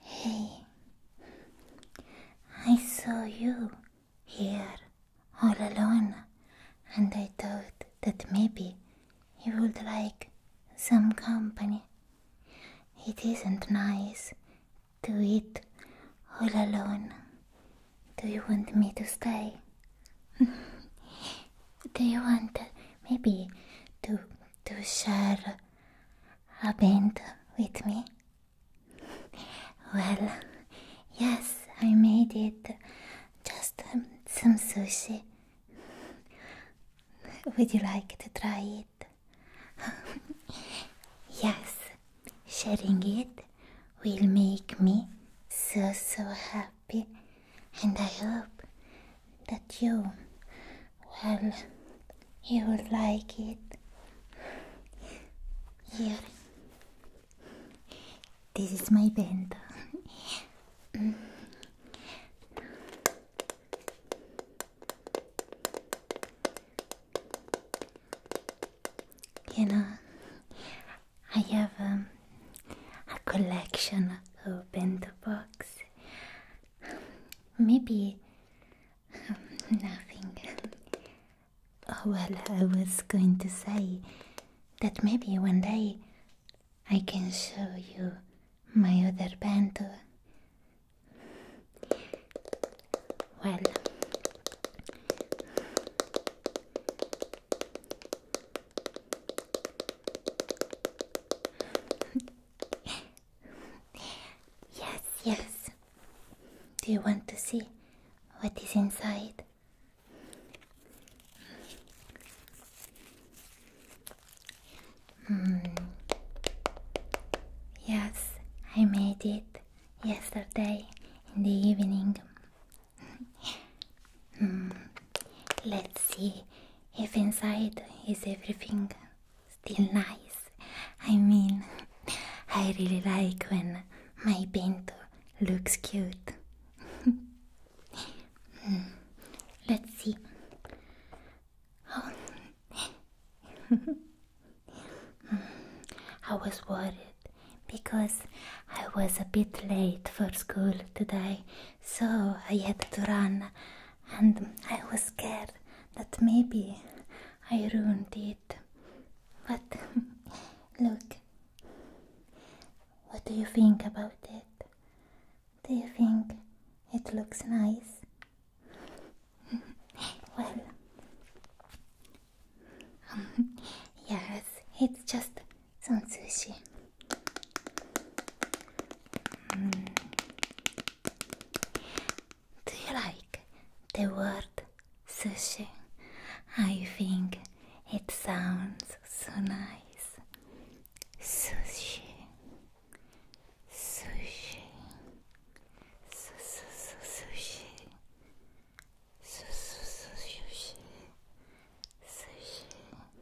Hey, I saw you here all alone, and I thought that maybe you would like some company. It isn't nice to eat all alone. Do you want me to stay? Do you want maybe to to share a band with me? well, yes, I made it. Just um, some sushi. Would you like to try it? yes, sharing it will make me so so happy and I hope that you, well, you will like it. Here, this is my bento. Mm. you know, I have um, a collection of bento boxes. Maybe um, nothing. Oh, well, I was going to say that maybe one day I can show you my other band. Well, yes, yes. Do you want to see what is inside? Hmm. Yes, I made it yesterday in the evening. Hmm. Let's see if inside is everything still nice. I mean, I really like when my bento looks cute. Hmm. Let's see. Oh. Hmm. I was worried because I was a bit late for school today, so I had to run and I was scared that maybe I ruined it. But look, what do you think about it? Do you think it looks nice? well, um, yes, it's just some sushi. Mm. Do you like the word sushi? I think it sounds so nice. Sushi. Sushi. Su -su -su sushi. Su -su -su sushi. Sushi.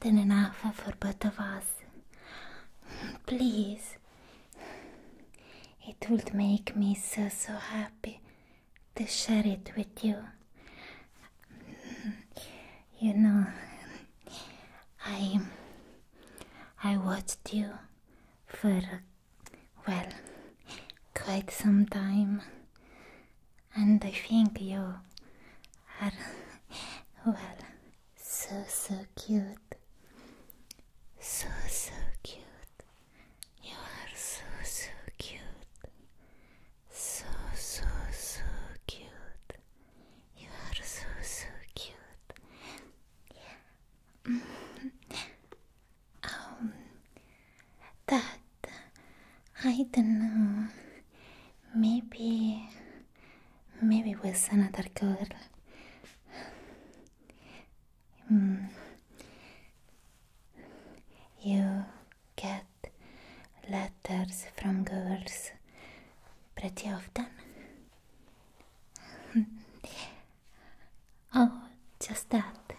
than enough for both of us. Please. It would make me so, so happy to share it with you. You know, I. I watched you for, well, quite some time. And I think you are, well, so, so cute. So, so cute. You are so, so cute. So, so, so cute. You are so, so cute. Yeah. um, that I don't know. Maybe. maybe with another girl. Mm. You get letters from girls pretty often. oh, just that.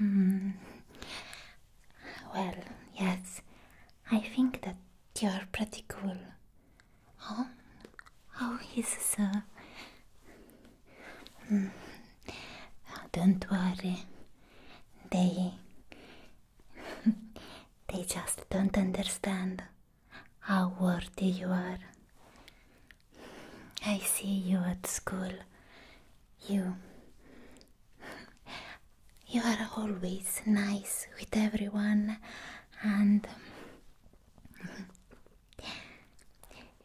Mm. Well, yes, I think that you're pretty cool. Oh, oh, he's so. Mm, don't worry. They. they just don't understand how worthy you are. I see you at school. You. You are always nice with everyone and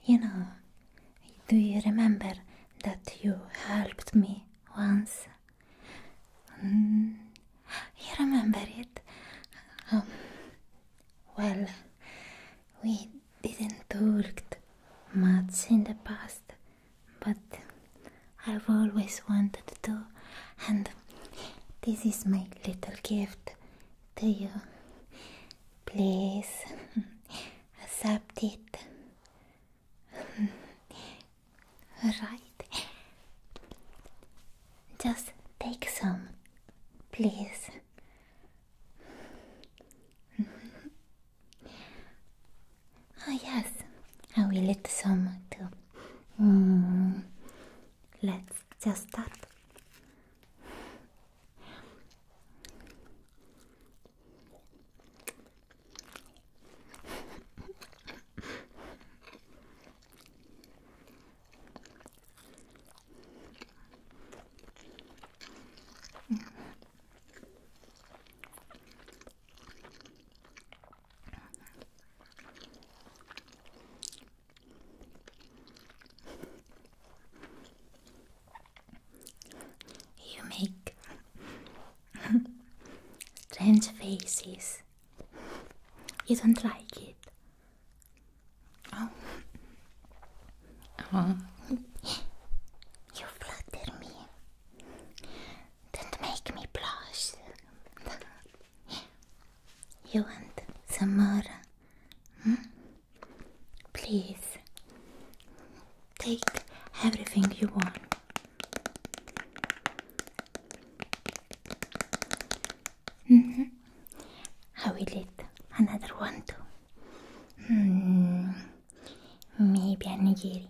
you know, do you remember that you helped me once? Mm, you remember it? Um, well, we didn't talk much in the past, but I've always wanted to, and this is my little gift to you. Please accept it. right. Just take some, please. oh, yes, I will eat some too. Mm. Let's just start. You make strange faces. You don't like it. Oh. Uh-huh. You flutter me. Don't make me blush. You want some more? Hmm? Please take everything you want. Mm -hmm. I will eat another one too. Mm, maybe a nigiri.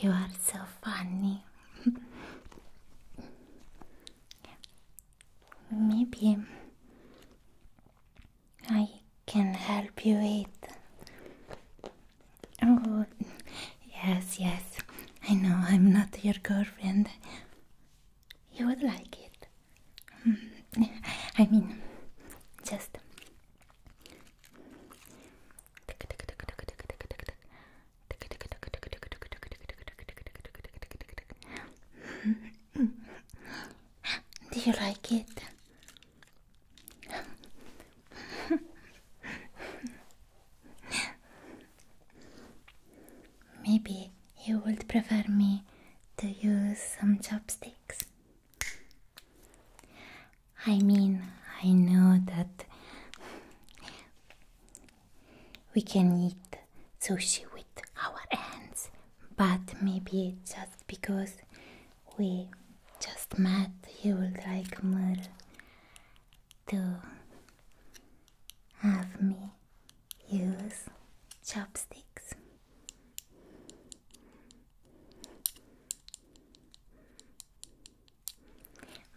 You are so funny. Maybe I can help you with. Oh, yes, yes. I know I'm not your girlfriend. You would like it. Hmm. I mean, just. Do you like it? Maybe you would prefer me to use some chopsticks. I mean, I know that we can eat sushi with our hands but maybe just because we just met, he would like more to have me use chopsticks.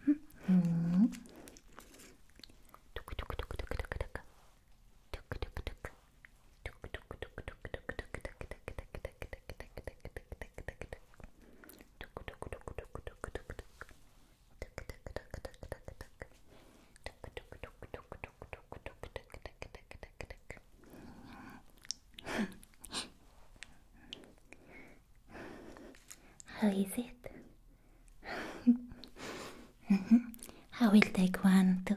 Hmm. Hmm. How is it? I mm-hmm. will take one too.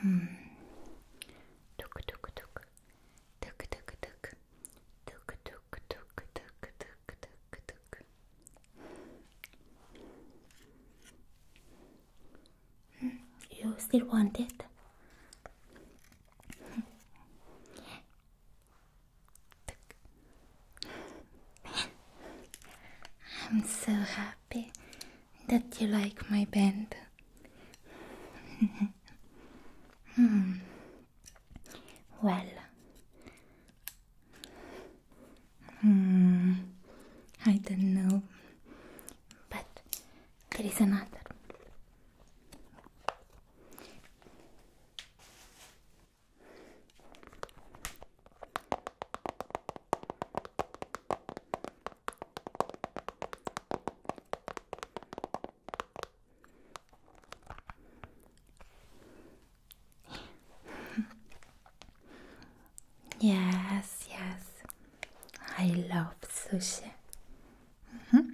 hmm. Tuk tuk tuk. Tuk tuk tuk. Tuk tuk tuk tuk tuk tuk tuk. You still want it? I'm so happy that you like my band. Hmm. Well, hmm. I don't know, but there is another yes, yes, I love sushi. Mm-hmm.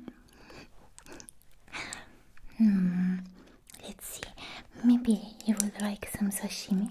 Hmm. let's see, maybe you would like some sashimi.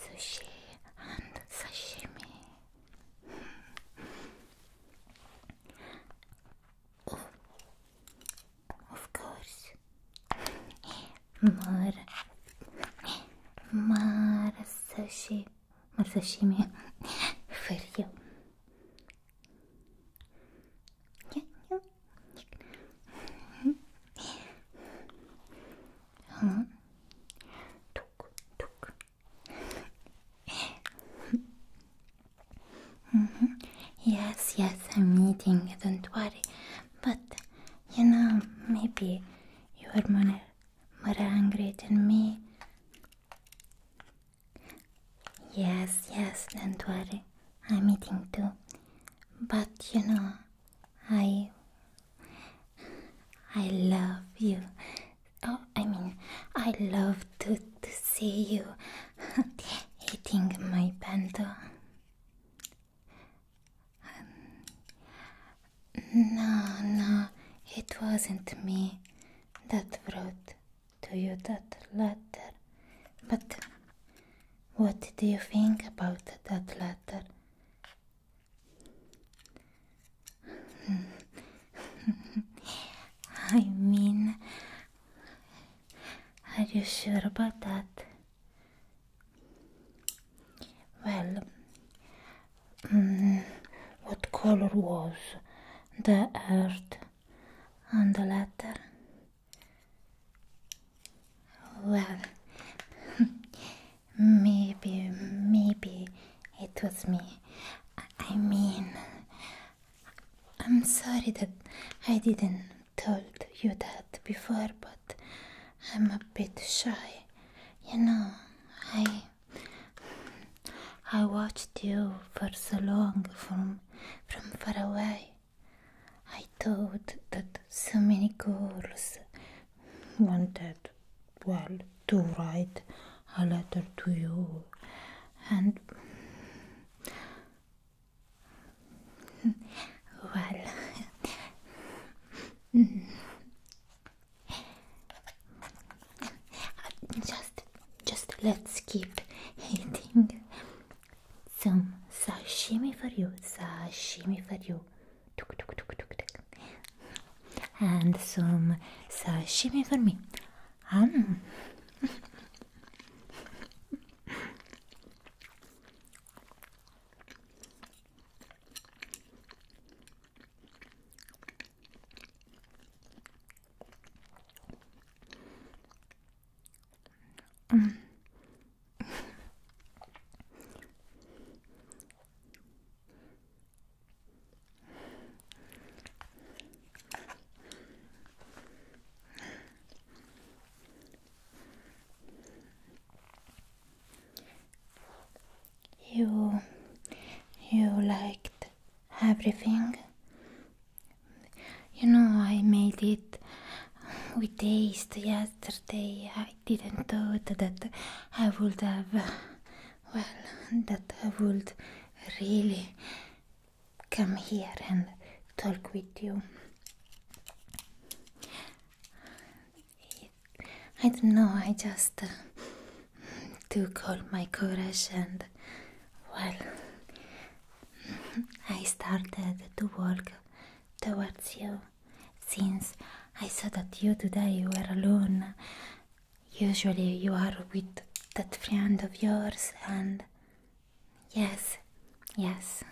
Sushi and sashimi. Hmm. of course. More, more sushi, more sashimi for you. Yes, yes, I'm eating, don't worry. But, you know, maybe you are more, more hungry than me. Yes, yes, don't worry. I'm eating too. But you know, I I love you. Oh, I mean, I love to to see you eating my bento. no, no, it wasn't me that wrote to you that letter, but what do you think about that letter? I mean, are you sure about that? Well, mm, what color was the earth on the letter? Well, maybe, maybe it was me. I mean, I'm sorry that I didn't told you that before, but I'm a bit shy. You know, I I watched you for so long from from far away. I thought that so many girls wanted, well, to write a letter to you, and well, just, just let's keep eating some sashimi for you, sashimi for you and some sashimi for me. Um you you liked everything you know i made it we tasted yesterday. I didn't thought that I would have, well, that I would really come here and talk with you. I don't know, I just uh, took all my courage and, well, I started to walk towards you since I saw that you today were alone. Usually you are with that friend of yours, and yes, yes.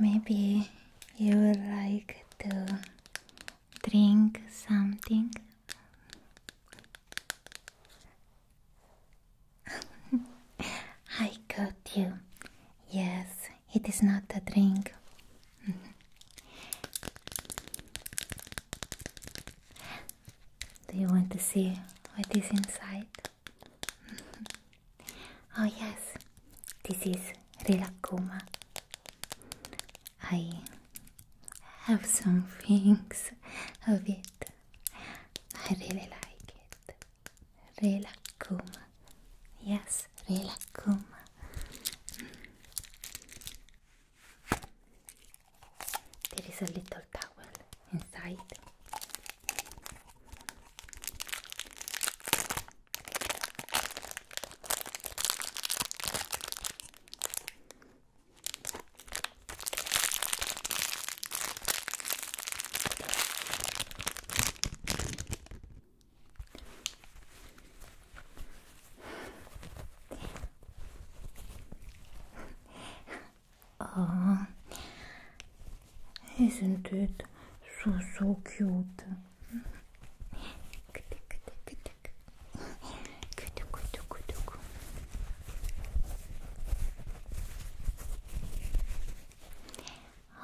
Maybe you would like to drink something. I got you. Yes, it is not a drink. Do you want to see what is inside? Oh yes, this is Rilakkuma. I have some things of it. I really like it. Rilakkuma. Yes, Rilakkuma. There is a little towel inside. Oh, isn't it so so cute?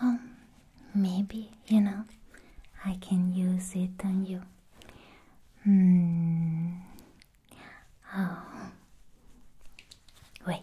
Um, maybe, you know, I can use it on you. Hmm. Oh. Wait.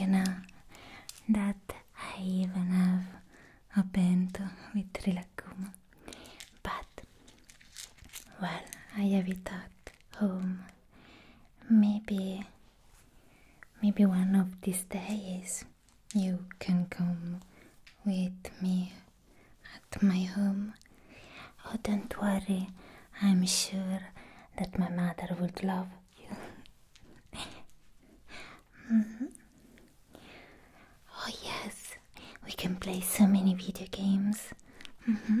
You know that I even have a pento with Trilacuma, but well, I have it at home maybe maybe one of these days you can come with me at my home. Oh, don't worry, I'm sure that my mother would love you. Mm-hmm. Oh, yes, we can play so many video games. Mm-hmm.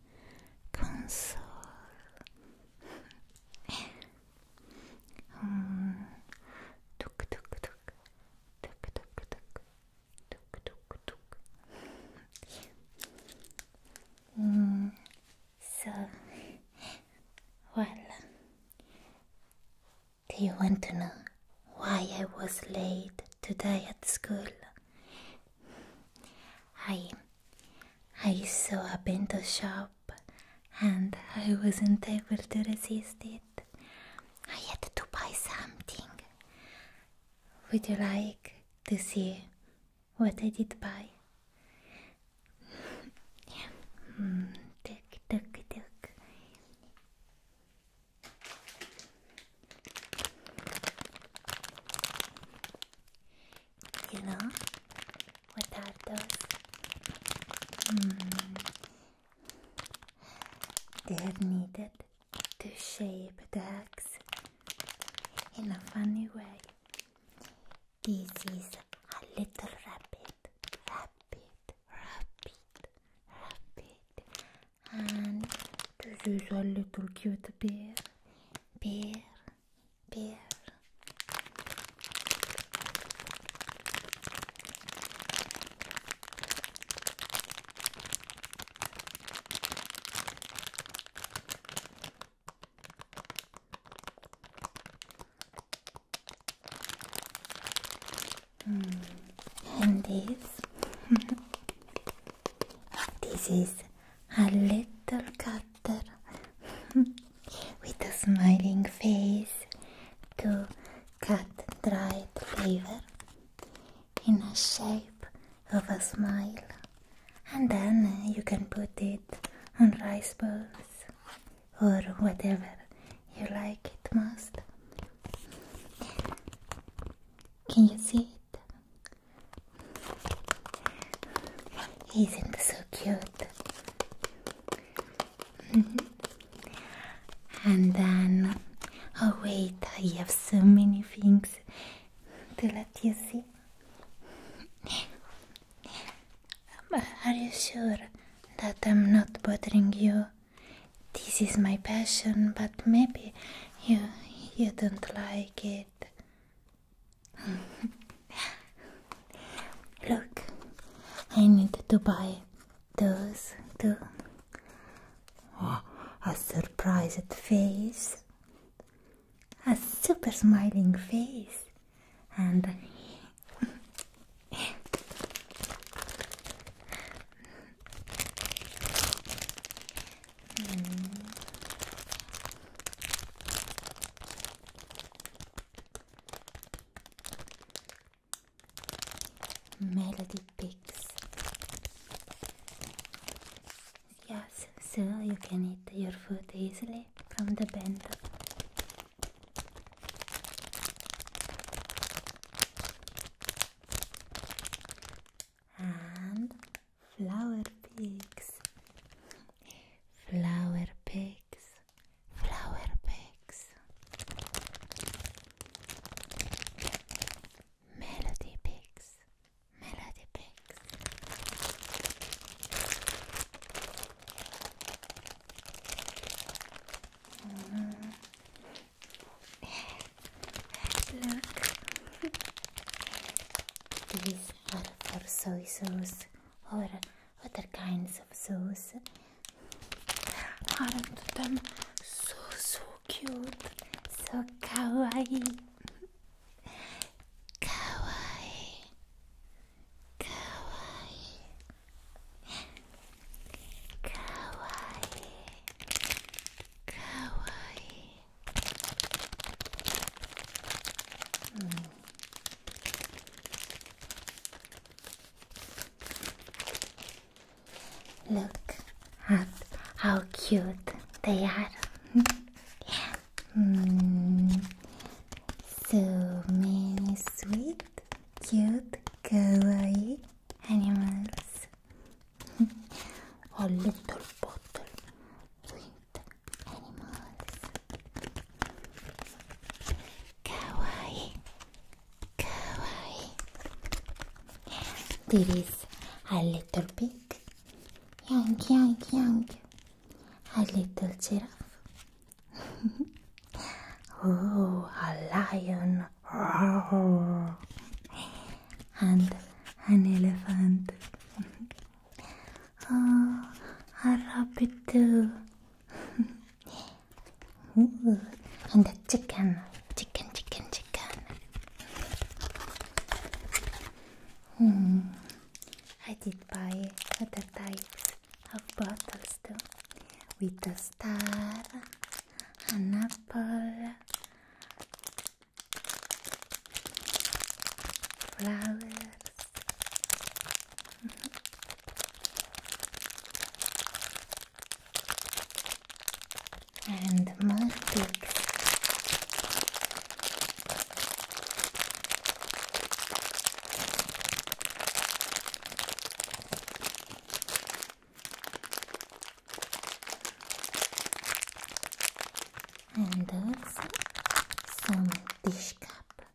console. um, tuk tuk tuk, tuk tuk tuk, tuk tuk tuk. um, so, well, do you want to know why I was late today at school? I I saw a bento shop and I wasn't able to resist it. I had to buy something. Would you like to see what I did buy? mm, tuk, tuk, tuk you know, without those. Mm. They have needed to shape the axe in a funny way. This is a little rabbit, rabbit, rabbit, rabbit, and this is a little cute bear, bear beer. Mm. And this, this is a little cutter with a smiling face to cut dried flavor in a shape of a smile, and then you can put it on rice balls or whatever you like it most. Can you see it? Isn't so cute? Mm-hmm. and then, oh wait, I have so many things to let you see. Um, are you sure that I'm not bothering you? This is my passion, but maybe you you don't like it. Look, I need to buy those too. Oh, a surprised face, a super smiling face, and hmm. Melody picks. Yes, so you can eat your food easily from the bento. And flower picks. flower pigs, flower pigs, melody pigs, melody pigs. Mm-hmm. these are for soy sauce. or other kinds of zoos. Aren't them so, so cute? So kawaii. Kawaii. Kawaii. Kawaii. Kawaii. Hmm. Look at how cute they are. So many sweet, cute, kawaii animals. A little bottle animals. Kawaii, kawaii. There is a little pig, young, young, young. A little giraffe. oh, a lion. and an elephant. Oh, I love it too. and the chicken, chicken, chicken, chicken. Hmm. I did buy other types of bottles too, with a star, an apple, flowers. And more peaks. And also some dish cup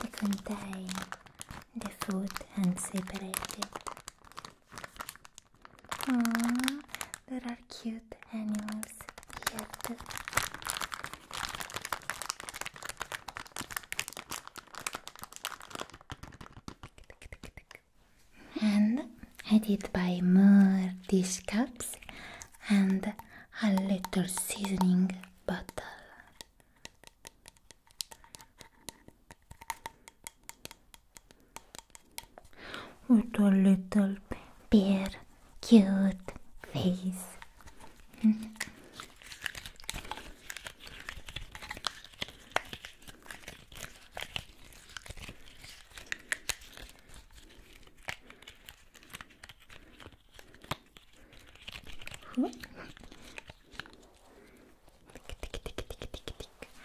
to contain the food and separate it. there are cute animals here And I did buy more dish cups and a little seasoning bottle. With a little beer, cute face.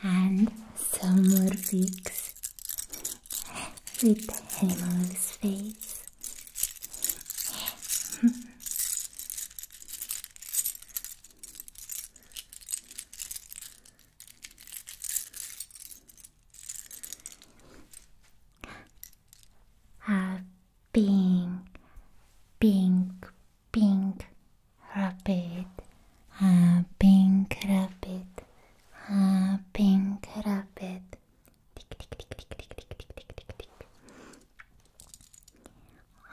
And some more beaks with animal's face. a ah, pink, pink, pink rabbit, a ah, pink rabbit, a ah, pink rabbit. Tick, tick, tick, tick, tick, tick, tick, tick, tick,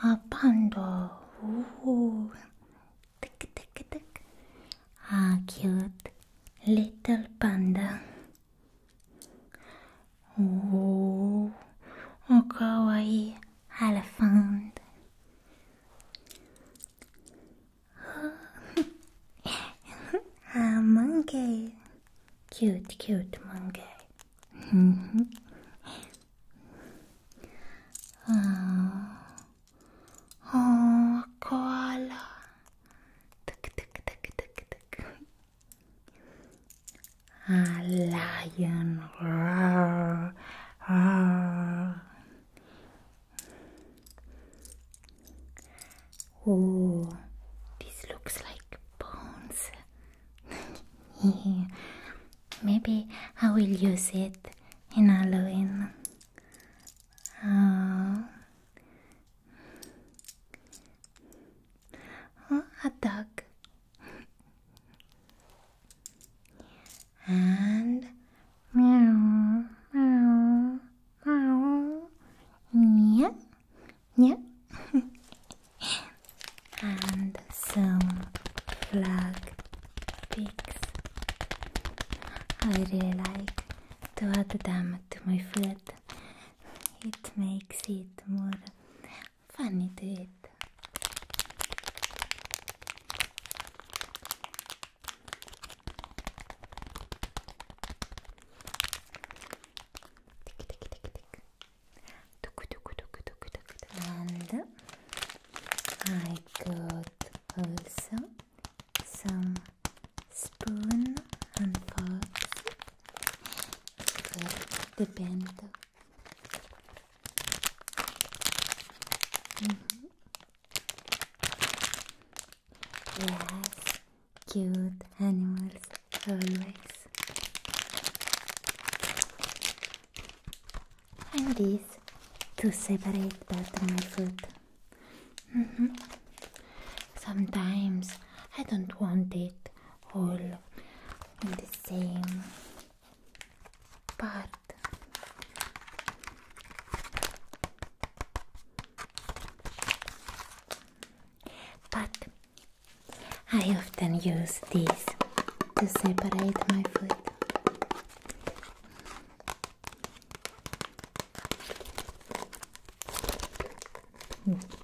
A panda. Ooh. Tick, tick, tick. A cute little panda. おおかわいいエレファント oh, oh, a monkey cute cute monkey mm-hmm. oh. oh koala tick tick tick tick tick a lion roar, Oh, this looks like bones. Maybe I will use it in Halloween. Oh. Oh, hot dog. and meow, meow, meow. Yeah, yeah. and some flag pigs. I really like to add them to my food it makes it more funny to eat. And I got also some spoon and forks with the bento. Mm -hmm. Yes, cute animals always. And this to separate part of my food. Mm -hmm. Sometimes I don't want it all in the same part. But I often use this to separate my food.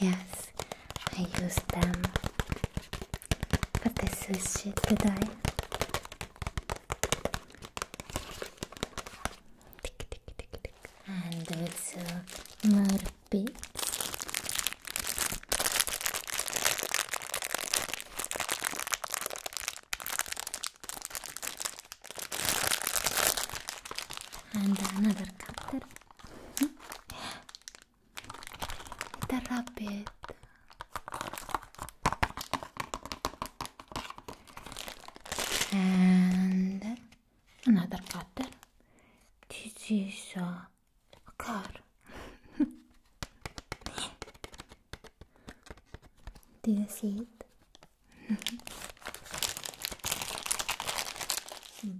Yes, I used them for the sushi today. Tick, tick, tick, tick. And also more and another cutter. the rabbit. And another cutter. This is a uh, Oh God! Do you see it?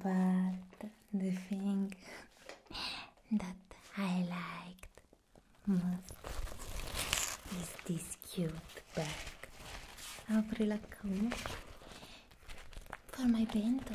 but the thing that I liked most is this cute bag. Apri la cama for my bento.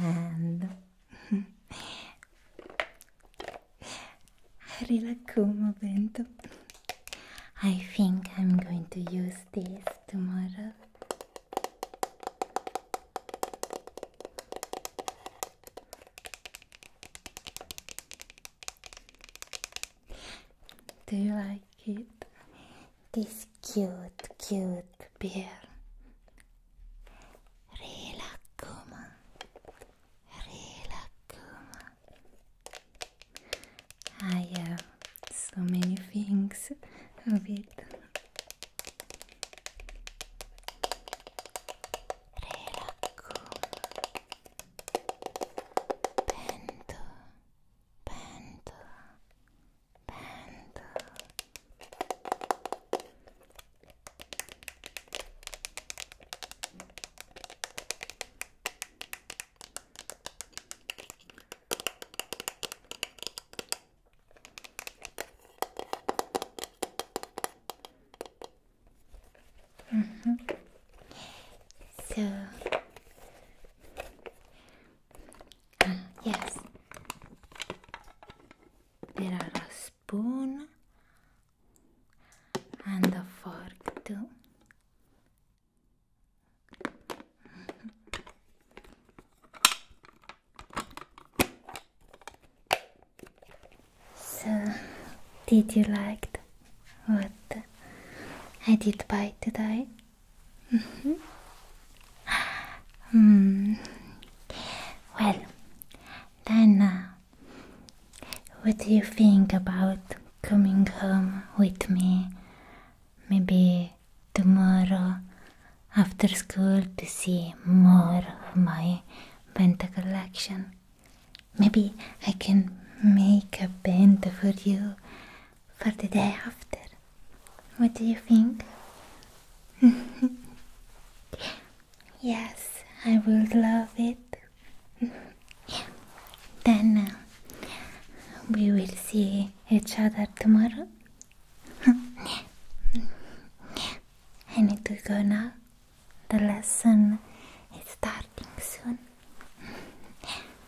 and Rilakkuma bento. I think I'm going to use this tomorrow. Do you like like it? This cute, cute bear. Relakuma. Relakuma. I have so many things of it. Relakuma. Pento. panda, panda. Mm -hmm. So yes. There are a spoon and a fork too. so, did you like what I did buy today? Mm-hmm. hmm. Well, then, uh, what do you think about coming home with me? Maybe tomorrow after school to see more of my penta collection. Maybe I can make a penta for you for the day after. What do you think? yes, I will love it. then uh, we will see each other tomorrow. I need to go now. The lesson is starting soon.